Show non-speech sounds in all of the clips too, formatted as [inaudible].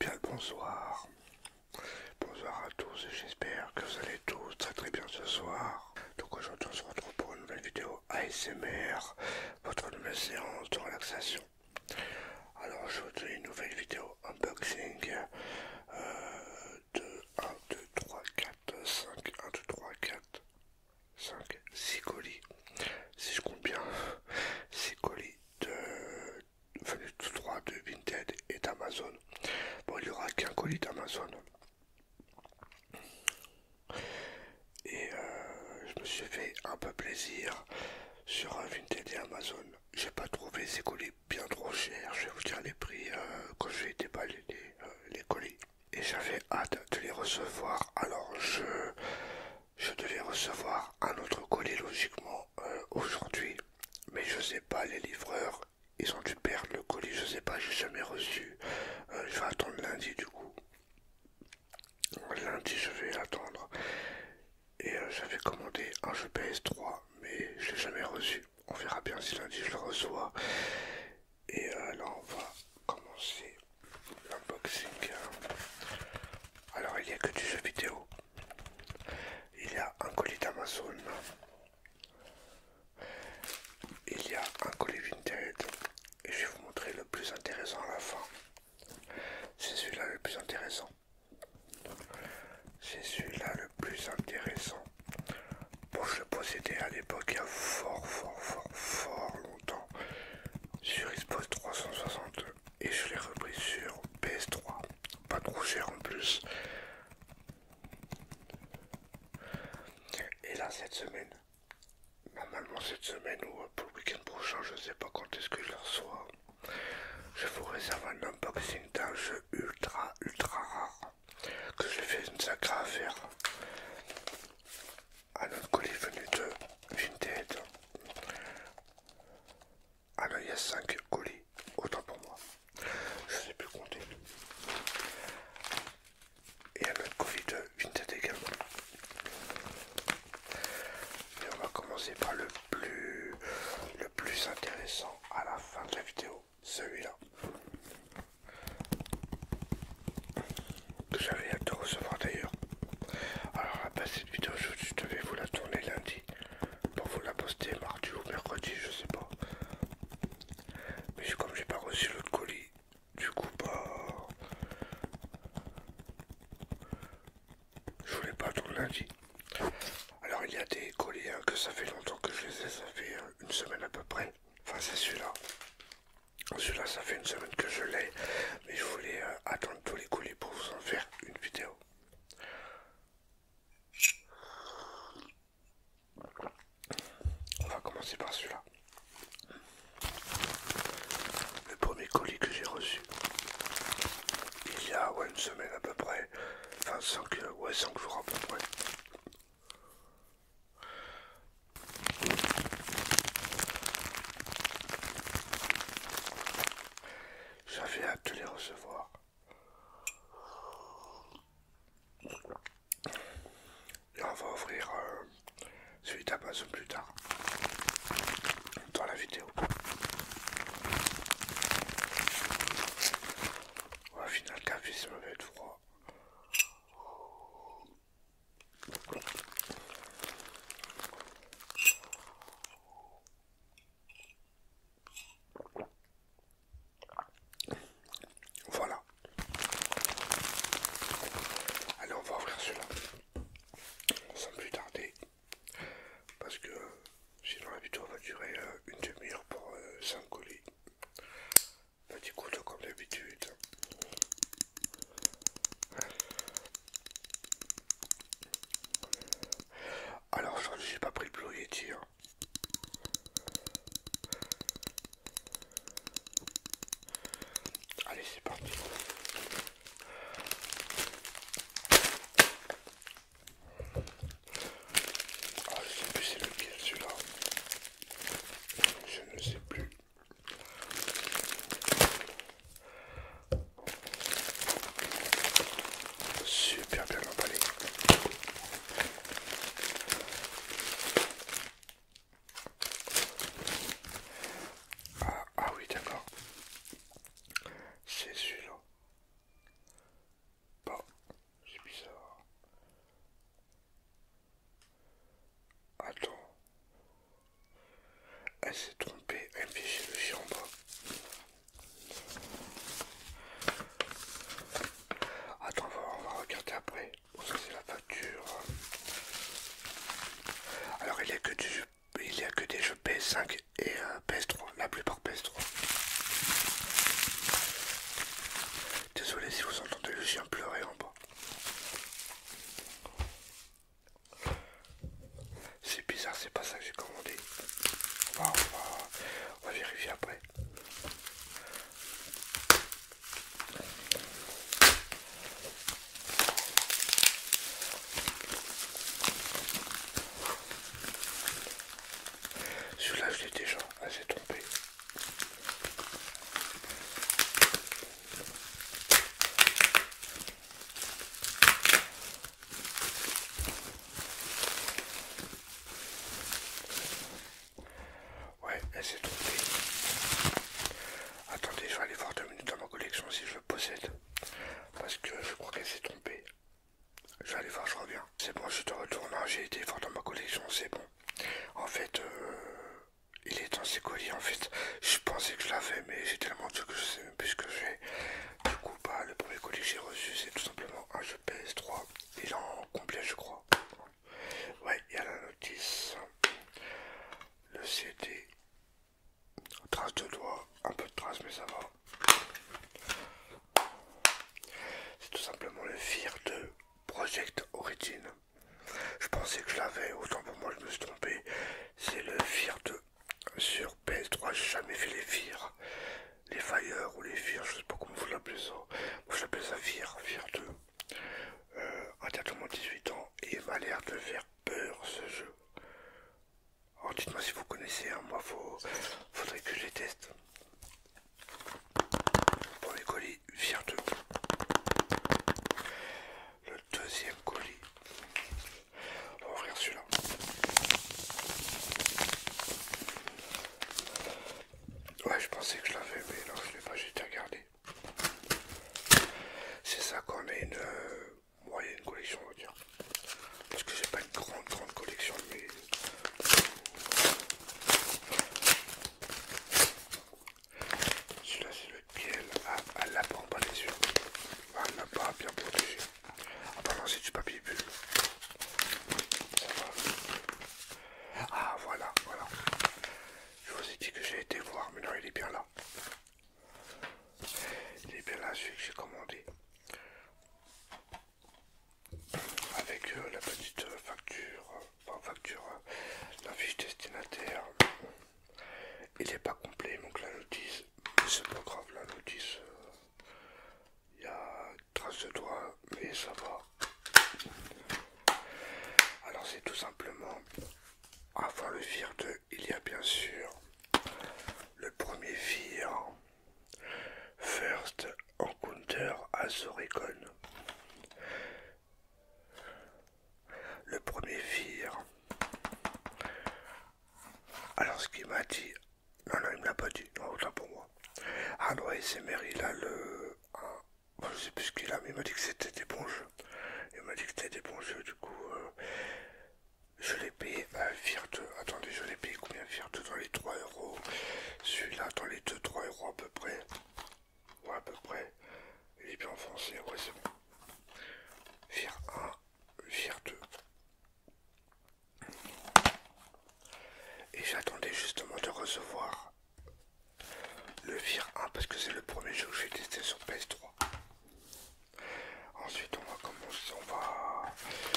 Bien le bonsoir, bonsoir à tous et j'espère que vous allez tous très très bien ce soir. Donc aujourd'hui on se retrouve pour une nouvelle vidéo ASMR, votre nouvelle séance de relaxation. Alors aujourd'hui une nouvelle vidéo unboxing euh, de 1, 2, 3, 4, 5, 1, 2, 3, 4, 5, 6 colis. Si je compte bien, 6 [laughs] colis de 3 de Vinted et d'Amazon. Bon il n'y aura qu'un colis d'Amazon. Et euh, je me suis fait un peu plaisir sur un Vinted et Amazon. J'ai pas trouvé ces colis bien trop chers. Je vais vous dire les prix euh, quand j'ai déballé euh, les colis. Et j'avais hâte de les recevoir. Alors je, devais recevoir un autre colis logiquement aujourd'hui. Mais je sais pas, les livreurs ils ont dû perdre le colis, je sais pas, j'ai jamais reçu. Euh, je vais attendre lundi du coup. Lundi, je vais attendre. Et euh, j'avais commandé un jeu PS3, mais je l'ai jamais reçu. On verra bien si lundi je le reçois. Et alors euh, on va commencer l'unboxing. Alors, il n'y a que du jeu vidéo. Il y a un colis d'Amazon. Il y a un colis vintage et je vais vous montrer le plus intéressant à la fin. C'est celui-là le plus intéressant. C'est celui-là le plus intéressant. Bon, je le possédais à l'époque il y a fort, fort, fort, fort longtemps sur Xbox 360 et je l'ai repris sur PS3. Pas trop cher en plus. Et là, cette semaine, normalement cette semaine ou pour le week-end prochain, je sais pas quand est-ce que je le reçois, je vous réserve un unboxing d'un jeu ultra, ultra rare que j'ai fais une sacrée affaire. Un autre colis venu de Vinted. Alors ah il y a 5 colis, autant pour moi. Je sais plus compter et un autre Covid, de Vinted également. Et on va commencer par le plus, le plus intéressant à la fin de la vidéo, celui-là. Que j'avais hâte de recevoir d'ailleurs. Alors à base cette vidéo, je devais vous la tourner lundi pour vous la poster mardi ou mercredi, je sais pas. Mais comme j'ai pas reçu l'autre colis, du coup pas bah, je voulais pas attendre lundi. Alors il y a des colis hein, que ça fait longtemps que je les ai, ça fait euh, une semaine à peu près. Enfin c'est celui-là. Celui-là ça fait une semaine que je l'ai, mais je voulais euh, attendre tous les colis pour vous en faire une vidéo. On va commencer par celui-là. Le premier colis que j'ai reçu il y a une semaine à peu près, enfin euh, ouais, 5 jours à peu près. J'avais hâte de les recevoir. Et on va ouvrir celui euh, d'Amazon plus tard dans la vidéo. Au final, café, ça va être froid. Voilà. Allez, on va ouvrir cela. là Sans plus tarder. Parce que sinon la vidéo va durer euh, une demi-heure pour euh, s'en coller. Petit bah, couteau comme d'habitude. Alors aujourd'hui j'ai pas pris le Blue Allez, c'est parti. Ah, je sais plus c'est le pire celui-là. Je ne sais plus. Super bien emballé. Ah, ah, oui, d'accord. C'est celui-là. Bon, bah, c'est bizarre. Attends. Elle s'est trompée, elle me le chien en bas. Attends, on va regarder après. Oh, c'est la facture. Hein. Alors il n'y a, que du il a que des jeux PS5 et euh, PS3, la plupart PS3. Désolé si vous entendez le chien pleurer en bas. C'est bizarre, c'est pas ça que j'ai commandé. on va vérifier après. Celui-là, je l'ai déjà assez ah, trompé. Ouais, elle s'est trompée. Attendez, je vais aller voir deux minutes dans ma collection si je possède. Parce que je crois qu'elle s'est trompée. Je vais aller voir, je reviens. C'est bon, je te retourne. J'ai été fort dans ma collection, c'est bon. En fait, euh, il est dans ses colis. En fait, je pensais que je l'avais, mais j'ai tellement de que je sais même plus que j'ai. Du coup, pas bah, le premier colis que j'ai reçu, c'est tout simplement un jeu PS3. Il est en complet, je crois. Ouais, il y a la notice, le CD, trace de doigt, un peu de trace, mais ça va. C'est tout simplement le FIR de Project Origin. Je pensais que je l'avais, autant pour moi je me suis trompé. C'est le FIR 2 sur PS3, j'ai jamais fait les FIR. Les Fire ou les FIR, je sais pas comment vous l'appelez ça. Moi j'appelle ça FIR, FIR 2. Euh, mon 18 ans et m'a l'air de faire peur ce jeu. Alors oh, dites-moi si vous connaissez, hein. moi faut, faudrait que je les teste. Pour les colis, viens de Le deuxième colis. On va ouvrir celui-là. Ouais, je pensais que je l'avais, mais non, je l'ai pas, j'ai été regardé. C'est ça qu'on euh, a une moyenne collection, on va dire. Parce que j'ai pas une grande, grande collection, mais. Celui-là, c'est le piel à, la pompe pas les yeux. Ah, n'a pas bien protégé. Ah, non, c'est du papier bulle. Ah, voilà, voilà. Je vous ai dit que j'ai été voir, mais non, il est bien là. Il est bien là, celui que j'ai commandé. Avec euh, la petite euh, facture, euh, facture, la fiche destinataire. Il n'est pas complet, donc la notice, c'est pas grave, la notice, il y a trace de doigt, mais ça va. Alors c'est tout simplement, avant le vire 2, il y a bien sûr le premier vire First Encounter Azoricon. Le premier vire Alors ce qu'il m'a dit, non, non, il ne me l'a pas dit, non, autant pour moi. Ah non, il c'est là là le je sais plus ce qu'il a, mais il m'a dit que c'était des bons jeux. Il m'a dit que c'était des bons jeux, du coup, euh, je l'ai payé à Virte. Attendez, je l'ai payé combien Virte Dans les 3 euros. Celui-là, dans les 2-3 euros à peu près. Ouais, à peu près. Il est bien foncé, ouais, c'est bon. Vire 1, Vire 2. Et j'attendais justement de recevoir le Vir 1 parce que c'est le premier jeu que j'ai testé sur PS3. Ensuite, on va commencer, on va,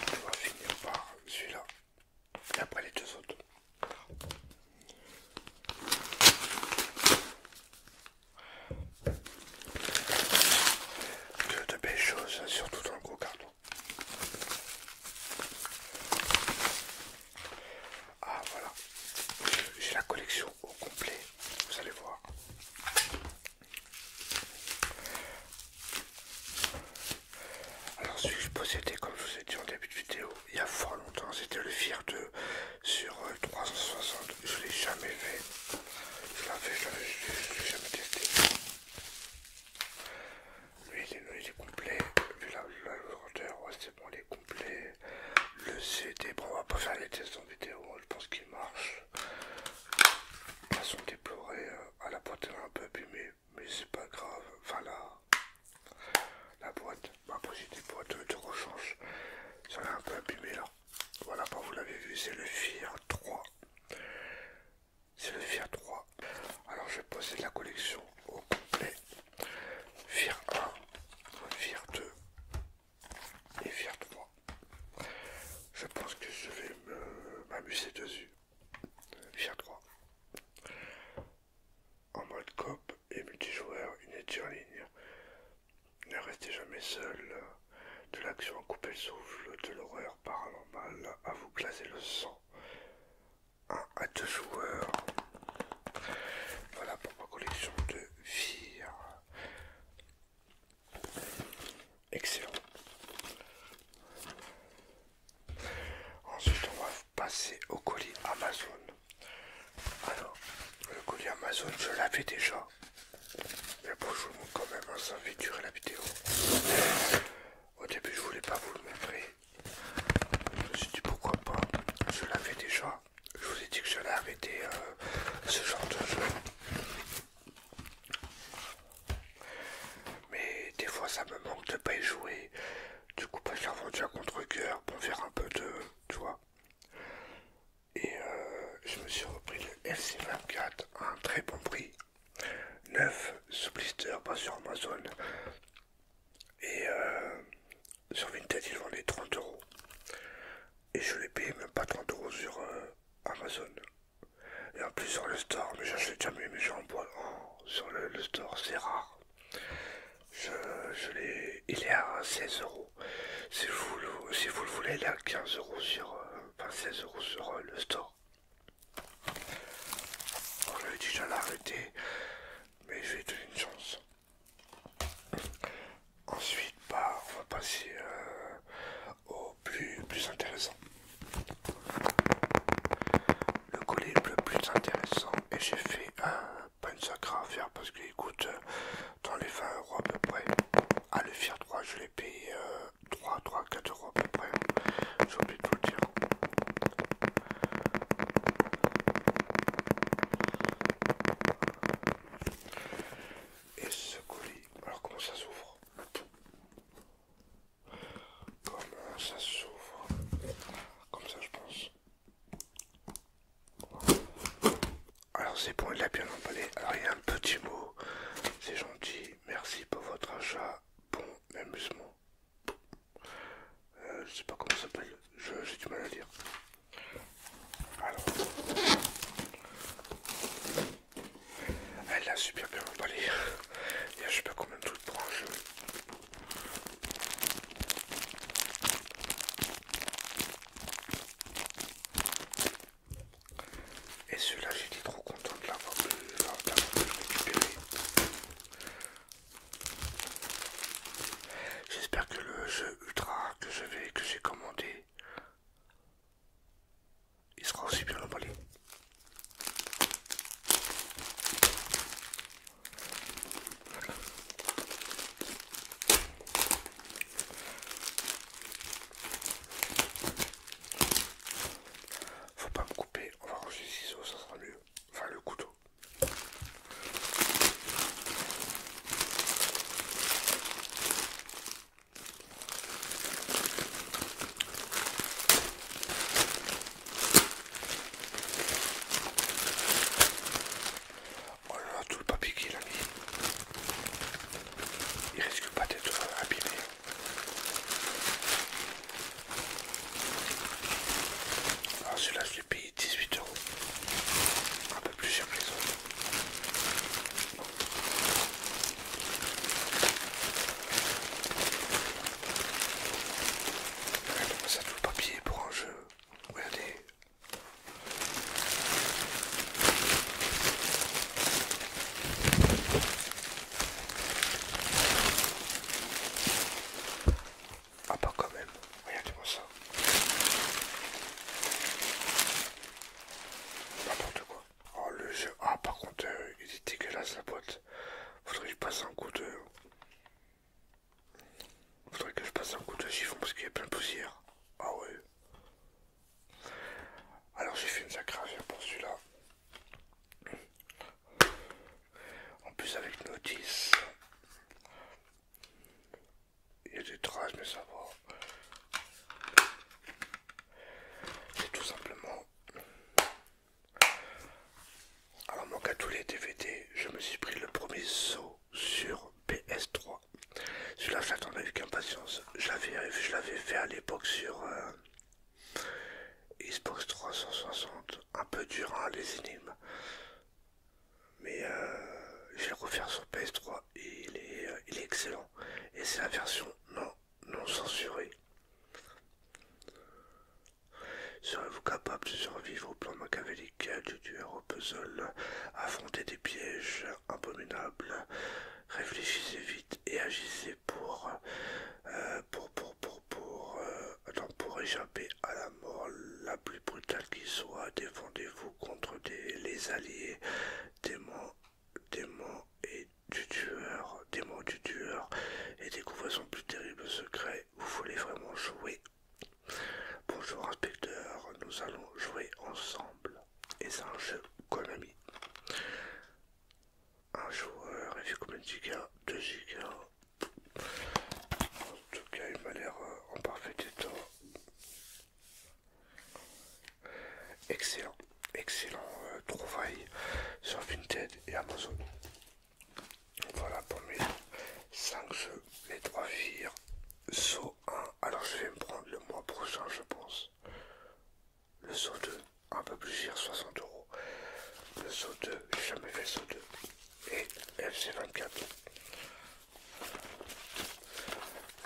on va finir par celui-là et après les deux autres. Que de belles choses, surtout dans le gros carton. Ah voilà, j'ai la collection au complet, vous allez voir. Alors celui que je possédais, comme je vous ai dit en début de vidéo, il y a fort longtemps, c'était le FIR 2 sur 360. Euh, je l'ai jamais fait. Je l'avais, l'ai jamais testé. Lui il est, complet, vu la, longueur, c'est bon, il est complet le CD. Bon, on va pas faire les tests en vidéo, je pense qu'il marche. Façon déplorée euh, à la boîte elle est un peu abîmée, mais c'est pas grave. Enfin, la, la boîte, Ma j'ai des boîtes de rechange, ça l'a un peu abîmé là. Voilà, bah, vous l'avez vu, c'est le FIR 3. C'est le FIR 3. Alors, je vais poser la collection au complet. Fir 1, vire 2 et vire 3. Je pense que je vais m'amuser dessus. Fir 3. En mode coop et multijoueur, une étude en ligne. Ne restez jamais seul. De l'action à couper le souffle, de l'horreur paranormale à vous glacer le sang. 1 à 2 joueurs. Voilà pour ma collection de vire. Excellent. Ensuite, on va passer au colis Amazon. Alors, le colis Amazon, je l'avais déjà. Mais bon, je vous montre quand même, hein, ça fait durer la vidéo. Au début, je voulais pas vous le montrer. Je me suis dit pourquoi pas. Je l'avais déjà je vous ai dit que je arrêter euh, ce genre de jeu. Mais des fois ça me manque de pas y jouer. Du coup, pas contre-coeur pour faire un peu de. tu Et euh, je me suis repris le LC24 à un très bon prix. Neuf sous blister, pas sur Amazon. Et euh, sur Vinted, ils vendent 30 euros. Et je l'ai payé même pas 30 euros sur euh, Amazon. Et en plus sur le store, mais j'achète jamais mes en bois oh, sur le, store, c'est rare. Je, l'ai. Il est à 16 euros. Si vous, le, voulez, il est à 15 euros sur. Euh, enfin 16 euros sur le store. On déjà l'arrêté, mais je vais donner une chance. Ensuite, bah, on va passer euh, au plus, intéressant. Le collier le plus intéressant, et j'ai fait un une à faire parce qu'il coûte euh, dans les 20 euros à peu près. Ah, le FIR 3, je l'ai payé 3, 3, 4 euros à peu près. J'ai oublié de vous le dire. Et ce colis, alors comment ça s'ouvre Comment ça s'ouvre Comme ça je pense. Alors c'est bon, il l'a bien emballé. Alors il un petit mot. C'est gentil. Merci pour votre achat. Bon amusement. Euh, je sais pas comment ça s'appelle. J'ai du mal à lire elle a super bien emballé. Il je peux pas même tout le Et celui-là, j'étais trop content de l'avoir vu. J'espère que le jeu ultra que je vais, que j'ai commandé. Il sera aussi bien emballé. Faut pas me couper, on va ranger ciseaux, ça sera mieux. Enfin le couteau. Oh là tout le papier qui a mis, il risque pas d'être abîmé. Ah, c'est la je 18 euros, un peu plus cher que les autres. regardez ça tout le papier pour un jeu. Regardez. Ah pas quand même. Regardez-moi ça. N'importe quoi. Oh le jeu. Ah par contre euh, il est dégueulasse la boîte. Faudrait que je passe un coup de. Faudrait que je passe un coup de chiffon parce qu'il y a plein de poussière. Ah ouais. Alors j'ai fait une sacrée affaire pour celui-là. En plus avec notice. Il y a des traces, mais ça va. C'est tout simplement. Alors, mon à tous les DVD, je me suis pris le premier saut sur PS3. Celui-là, l'attendais avec impatience. Je l'avais fait à l'époque sur euh, Xbox 360. Un peu dur, hein, les énigmes mais euh, je vais le refaire sur PS3 et euh, il est, excellent. Et c'est la version non, non censurée. Serez-vous capable de survivre au plan machiavélique du tuer au puzzle, affronter des pièges abominables, réfléchissez vite et agissez pour euh, pour pour pour pour échapper à la mort plus brutal qu'il soit, défendez-vous contre les alliés, démons, démons et du tueur, démons du tueur, et découvrez son plus terrible secret, vous voulez vraiment jouer Bonjour inspecteur, nous allons jouer ensemble, et c'est un jeu Konami. Un joueur, et fait combien de gigas 2 gigas. En tout cas, il m'a l'air euh, en parfait état. Excellent, excellent euh, trouvaille sur Vinted et Amazon. Voilà pour mes 5 jeux, les 3 vire saut 1. Alors je vais me prendre le mois prochain, je pense. Le saut 2, un peu plus cher, 60 euros. Le saut 2, j'ai jamais fait saut 2. Et FC24.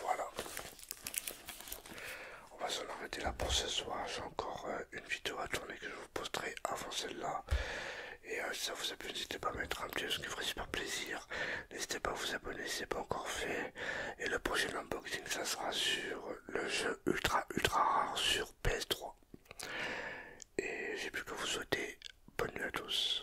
Voilà. On va s'en arrêter là pour ce soir. J'ai encore euh, une vidéo à tourner que je vous posterai avant celle-là. Et euh, si ça vous a plu, n'hésitez pas à mettre un petit ce qui ferait super plaisir. N'hésitez pas à vous abonner si ce n'est pas encore fait. Et le prochain unboxing, ça sera sur le jeu ultra ultra rare sur PS3. Et j'ai plus que vous souhaiter bonne nuit à tous.